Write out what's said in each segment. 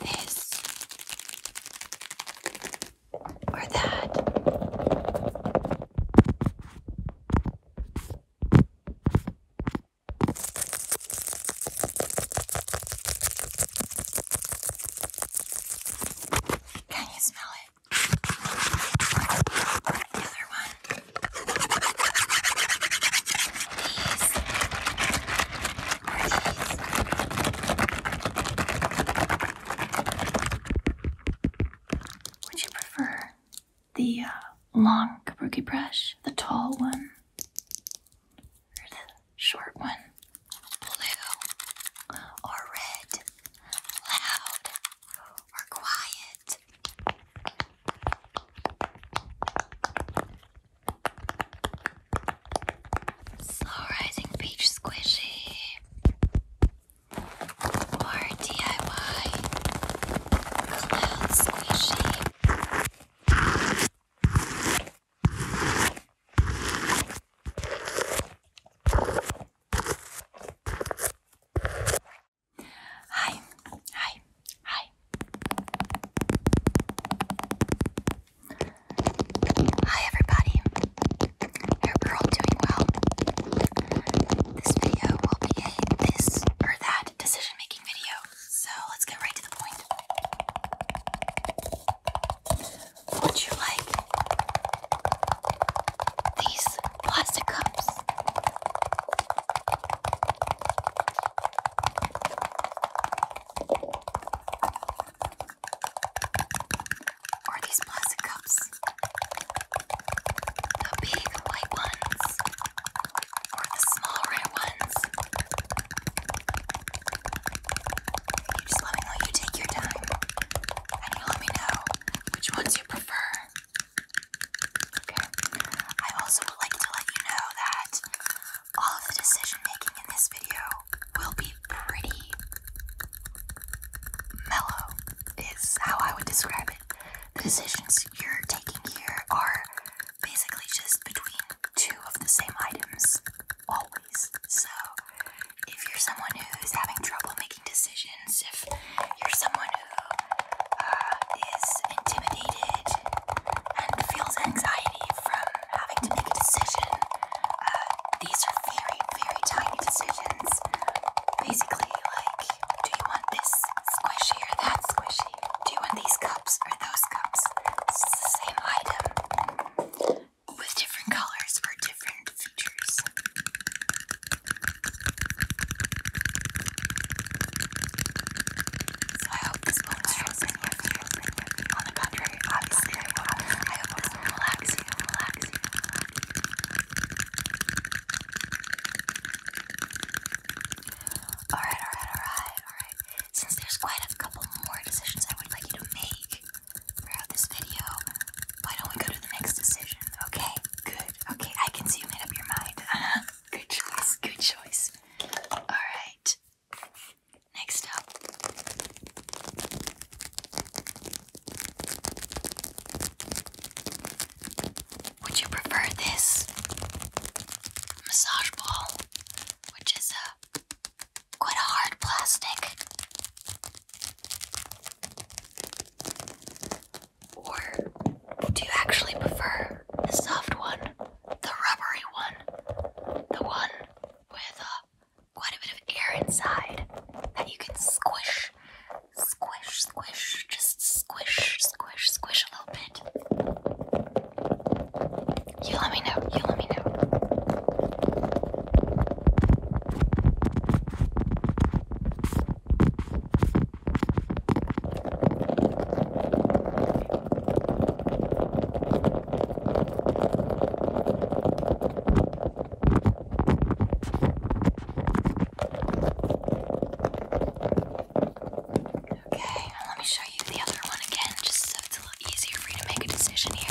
this or that. Can you smell it? The one. These. Would you prefer the uh, long kabuki brush, the tall one, or the short one? Blue or red? Loud or quiet? Slow rising peach squishy or DIY cloud squishy. Hi, hi, hi. Hi everybody. hope you're all doing well. This video will be a this or that decision making video. So let's get right to the point. Would you like these plastic cups? Or these plastic cups. The big white ones. Or the small red ones. You just let me know you take your time. And you let me know which ones you prefer. Okay. I also would like to let you know that all of the decision making in this video will be pretty mellow, is how I would describe it. The decisions you're taking here are basically just between two of the same items, always. So, if you're someone who's having trouble making decisions, if you're someone who uh, is intimidated and feels anxiety from having to make a decision. Uh, these are very, very tiny decisions. Basically, like, do you want this squishy or that squishy? Do you want these cups or those cups? It's the same item with different colors or different features. So I hope this one I hope it Alright, alright, alright, alright. Since there's quite a couple more decisions I would like you to make throughout this video, why don't we go to the next decision? Okay, good. Okay, I can see you made up your mind. Uh -huh. Good choice, good choice. Alright, Next up, would you prefer this massage ball, which is a quite hard plastic, or do you actually prefer the soft one, the rubbery one, the one with uh, quite a bit of air inside that you can squish, squish, squish, just squish, squish, squish a little bit. You let me know, you let me know. Okay, and let me show you the other one again, just so it's a little easier for you to make a decision here.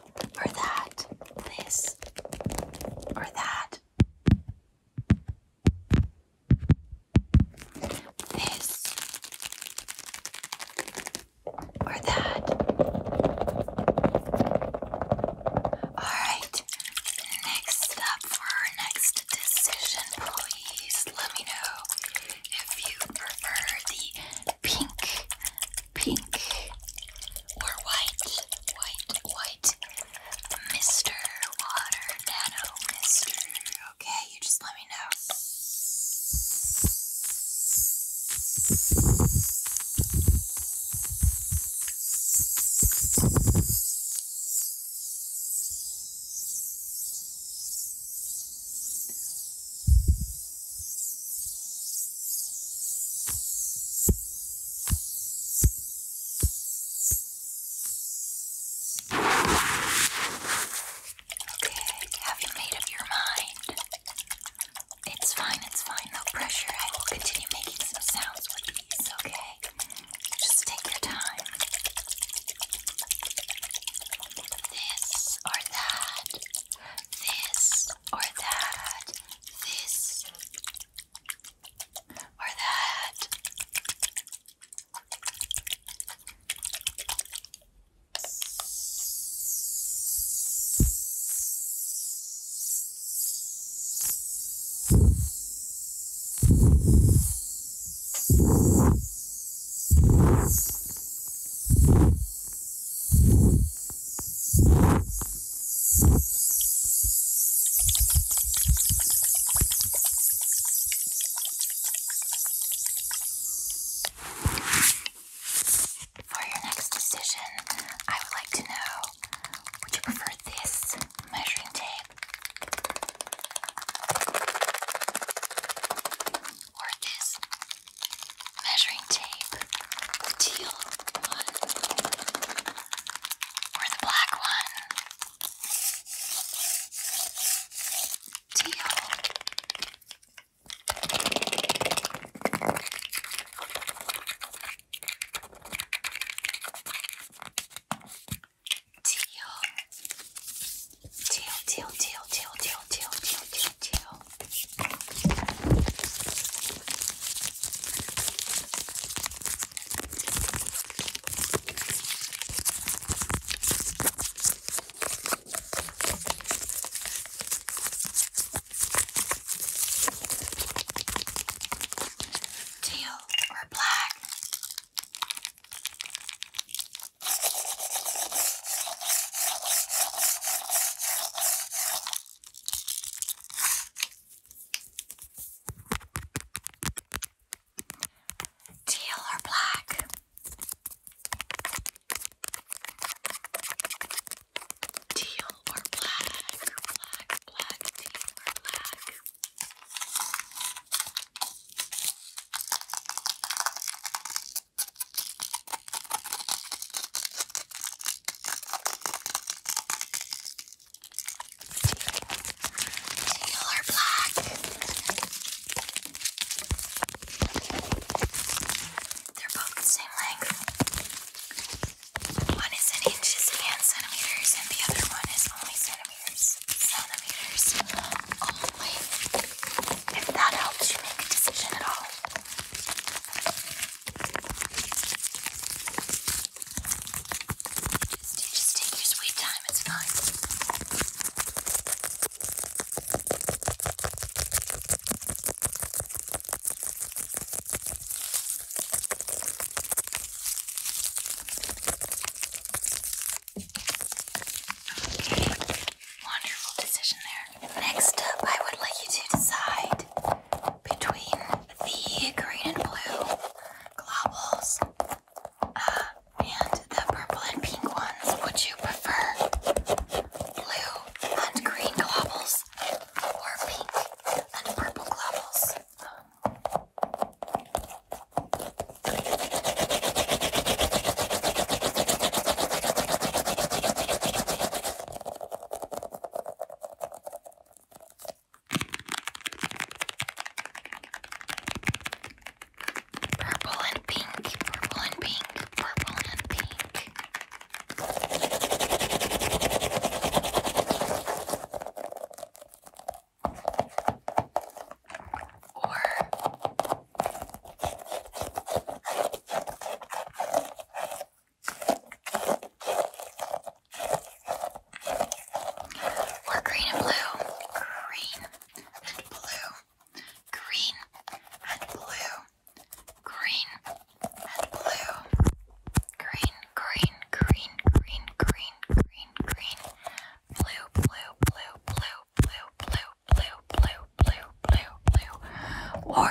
or that, this, or that, this, or that. Alright, next up for our next decision, please let me know if you prefer the pink pink or white, white, white. Mr. Water Nano Mister. Okay, you just let me know. Okay, have you made up your mind? It's fine, it's fine, no pressure. I will continue making some sounds with these, okay? Just take your time. This or that. This or that, this, or that. For your next decision, I would like to know would you prefer this measuring tape or this? measuring tape, teal one, or the black one. Teal, teal, teal, teal, teal, teal, teal, teal, teal. Teal or black? Teal or black? Teal or black? Black, black, teal or black? Teal or black? They're both the same length. One is in inches and centimeters, and the other one is only centimeters. Centimeters only. If that helps you make a decision at all. Just, take your sweet time, it's fine. wonderful decision there. Next up, I would like you to decide between the green and blue globules uh, and the purple and pink ones. Would you prefer blue and green globules or pink and purple globules? Purple and pink, purple and pink, purple and pink. Or or green and blue. Green and blue. Green and blue. Green and blue. Green, green, green, green, green, green, green. Blue, blue, blue, blue, blue, blue, blue, blue, blue, blue, blue. Or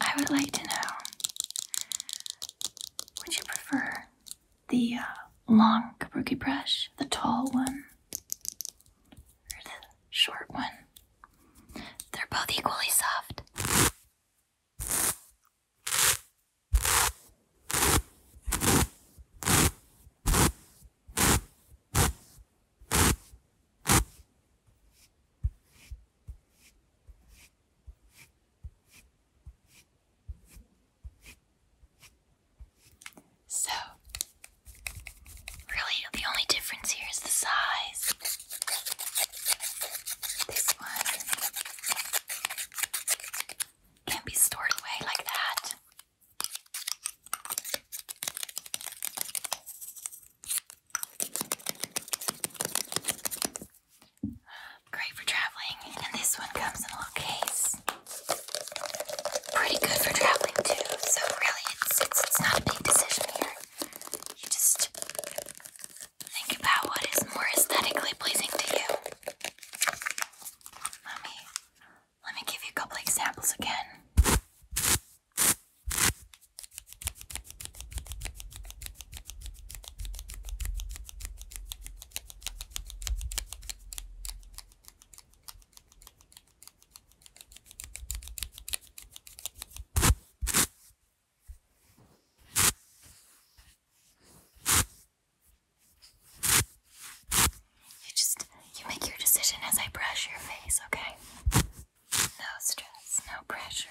I would like to know would you prefer the uh, long kabuki brush, the tall one, or the short one? They're both equally soft. So, really, the only difference here is the size. This one can be stored away like that. Great for traveling, and this one comes in a little case. Pretty good for traveling too, so really it's, it's, it's not a big decision here. You just think about what is more aesthetically pleasing to you. Let me, let me give you a couple examples again. You just you make your decision as I brush your face, okay? No stress, no pressure.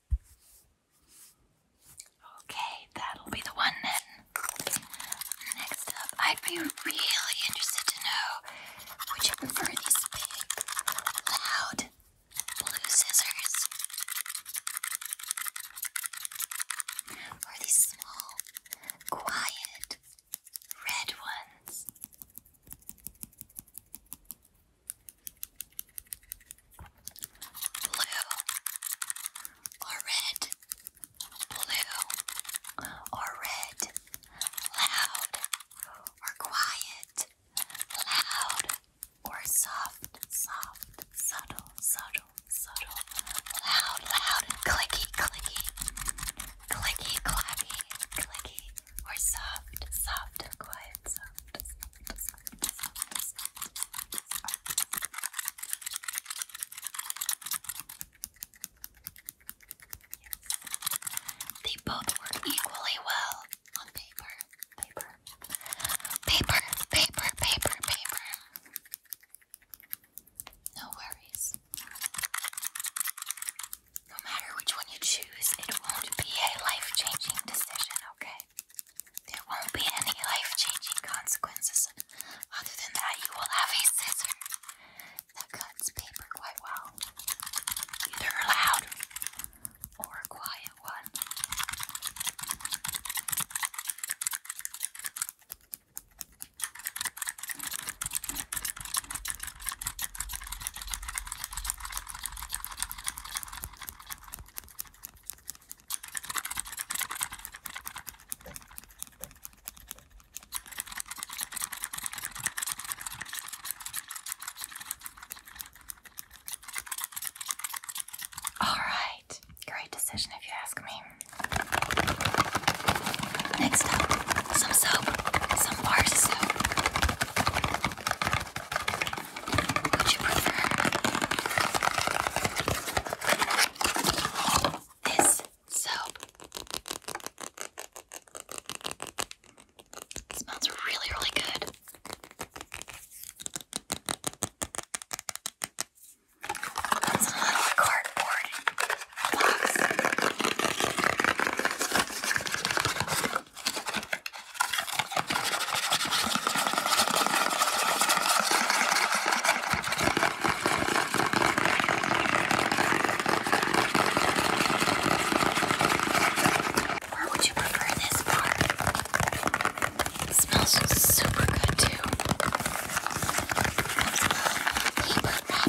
Okay, that'll be the one then. Next up, I'd be really interested to know would you prefer these big, loud blue scissors or these small, quiet red ones? blue or red, blue or red, loud or quiet, loud or soft, soft, subtle, subtle, subtle, loud, loud, clicky, clicky, clicky, clacky, clicky, or soft, soft and quiet, soft, soft. They both work equally well on paper. Paper. Paper, paper, paper, No worries. No matter which one you choose, it won't be a life changing decision, okay? There won't be any life changing consequences other than that you will have a scissor that cuts paper quite well. Either a loud or a quiet one. All right, great decision if you ask me. Next up, some soap, some bar soap. Would you prefer this soap? It smells really, really good. It's a little cardboard box. Or would you prefer this bar? It smells super good too. Paper wrapping.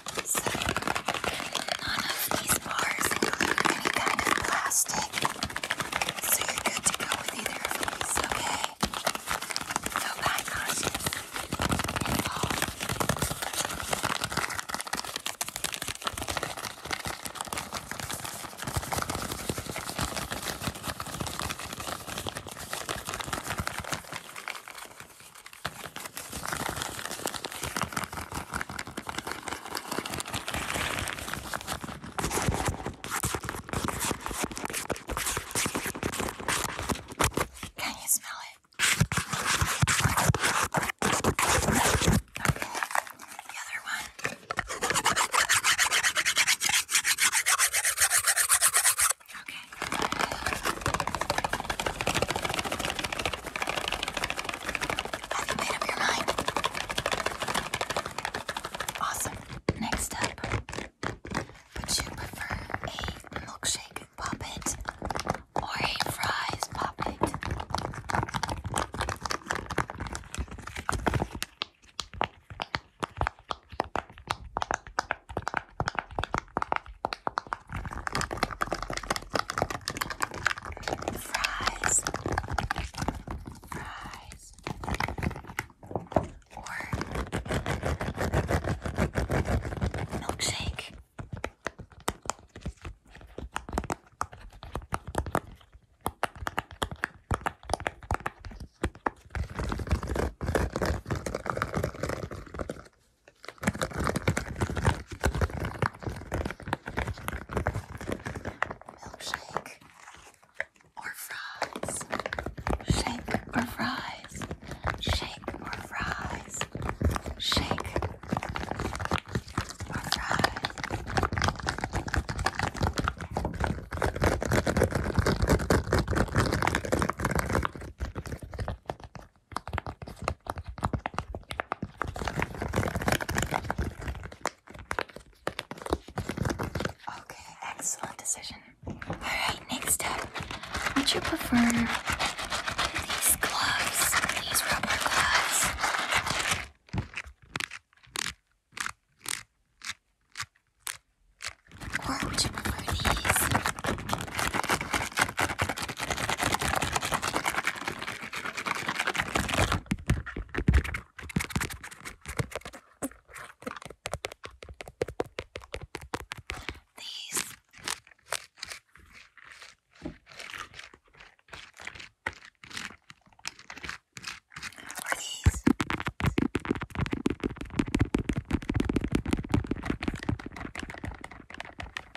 So, none of these bars include any kind of plastic. So you're good to go with either of these, okay? No bad conscience involved. Can you smell it? Okay. The other one. Okay. Have made up your mind? Awesome. Next up, would you prefer a milkshake puppet or a fries puppet? Fries. Fries. Or milkshake. Milkshake or fries. Shake or fries. Shake or fries. Shake or fries. Okay, excellent decision. Alright, next up, would you prefer these gloves, these rubber gloves? Or would you prefer these? These are these.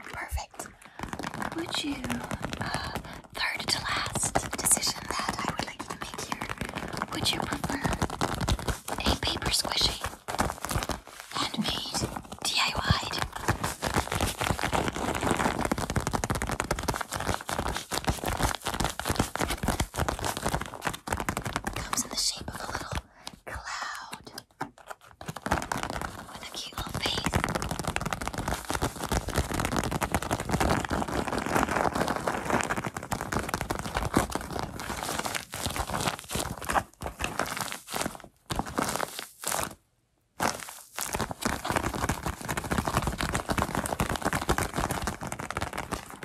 Perfect. Would you, uh, third to last decision that I would like to make here, would you prefer a paper squishy, handmade, diy Comes in the shape of a little cloud with a cute little face.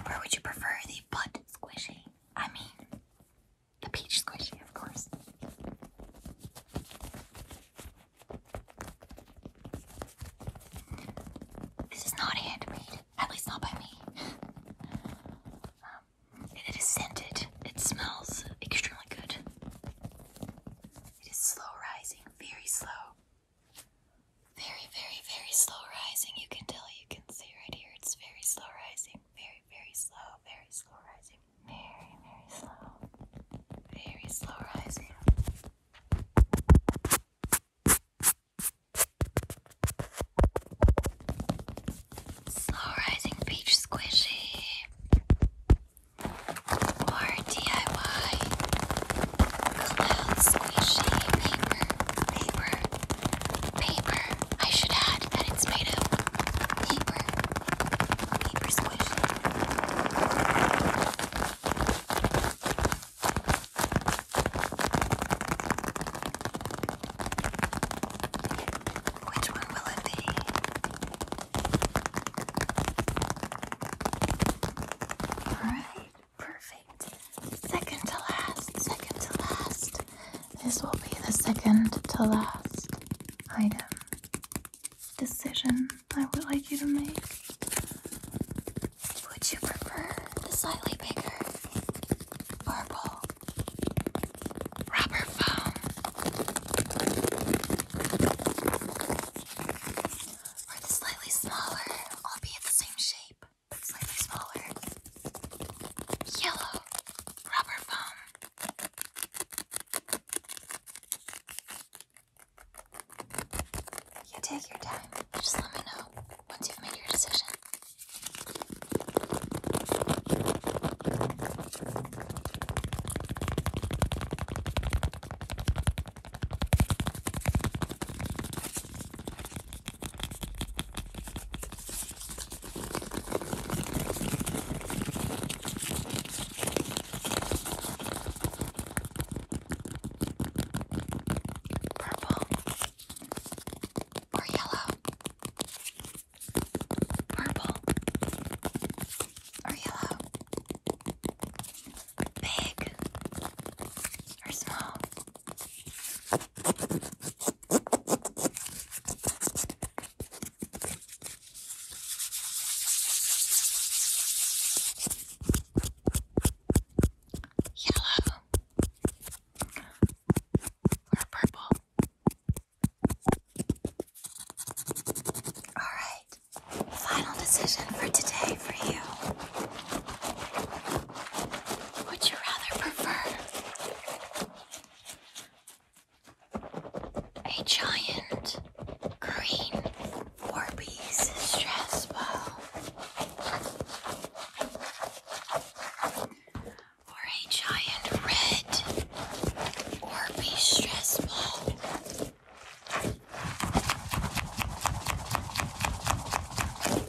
Or would you prefer the butt squishing? I mean, the peach squishy, of course. This is not handmade, at least not by me. Um, it is scented. It smells extremely good. It is slow rising, very slow. Very, very, very slow rising. You can tell, you can see right here, it's very slow rising very, very slow, very slow rising, very, very slow, very slow rising. Slow rising beach squishy or DIY cloud squishy paper paper Paper. I should add that it's made of paper. Paper squish. Which one will it be? All right, perfect. Second to last, second to last. This will be the second to last item decision I would like you to make. Would you prefer the slightly bigger purple rubber foam or the slightly smaller, albeit the same shape, slightly smaller, yellow rubber foam. You take your time. Just let me know once you've made your decision. Purple or yellow? Purple or yellow? Big or small? Yellow or purple. All right, final decision for today for you. Would you rather prefer a giant green four-piece stress ball or a giant red 4 stress ball.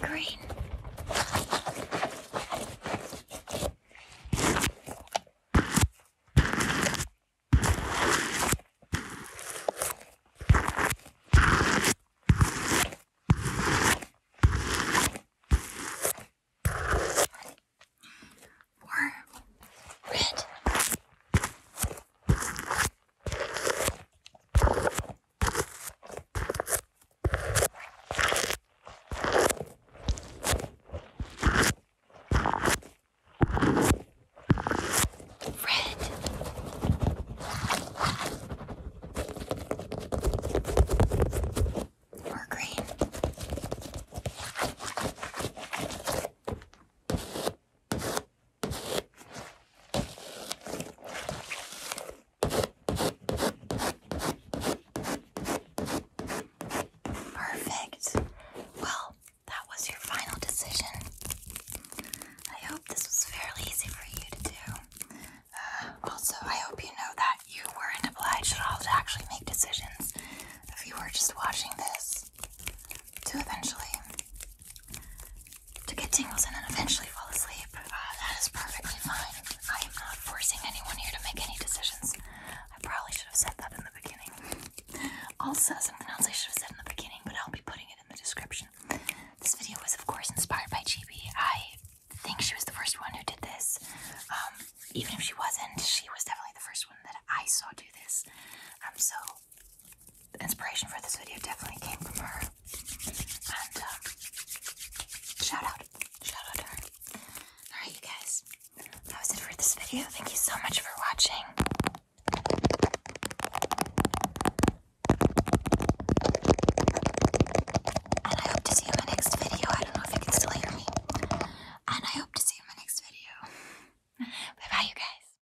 Green. Warm. Red. Red or green. Perfect. Well, that was your final decision. I hope this was fairly easy for you to do. Uh, also, I hope you know that you weren't obliged at all to actually make decisions. If you were just watching this, to eventually to get tingles and then eventually fall asleep. Uh, that is perfectly fine. I am not forcing anyone here to make any decisions. I probably should have said that in the beginning. All says and pronouns I should have said in the beginning, but I'll be putting it in the description. This video was, of course, inspired by Chibi. I think she was the first one who did this. Um, even if she wasn't, she was definitely the first one that I saw do this. Um, so the inspiration for this video definitely came from her. And um, shout out, shout out to her. Alright, you guys, that was it for this video. Thank you so much for watching. And I hope to see you in my next video. I don't know if you can still hear me. And I hope to see you in my next video. Bye bye, you guys.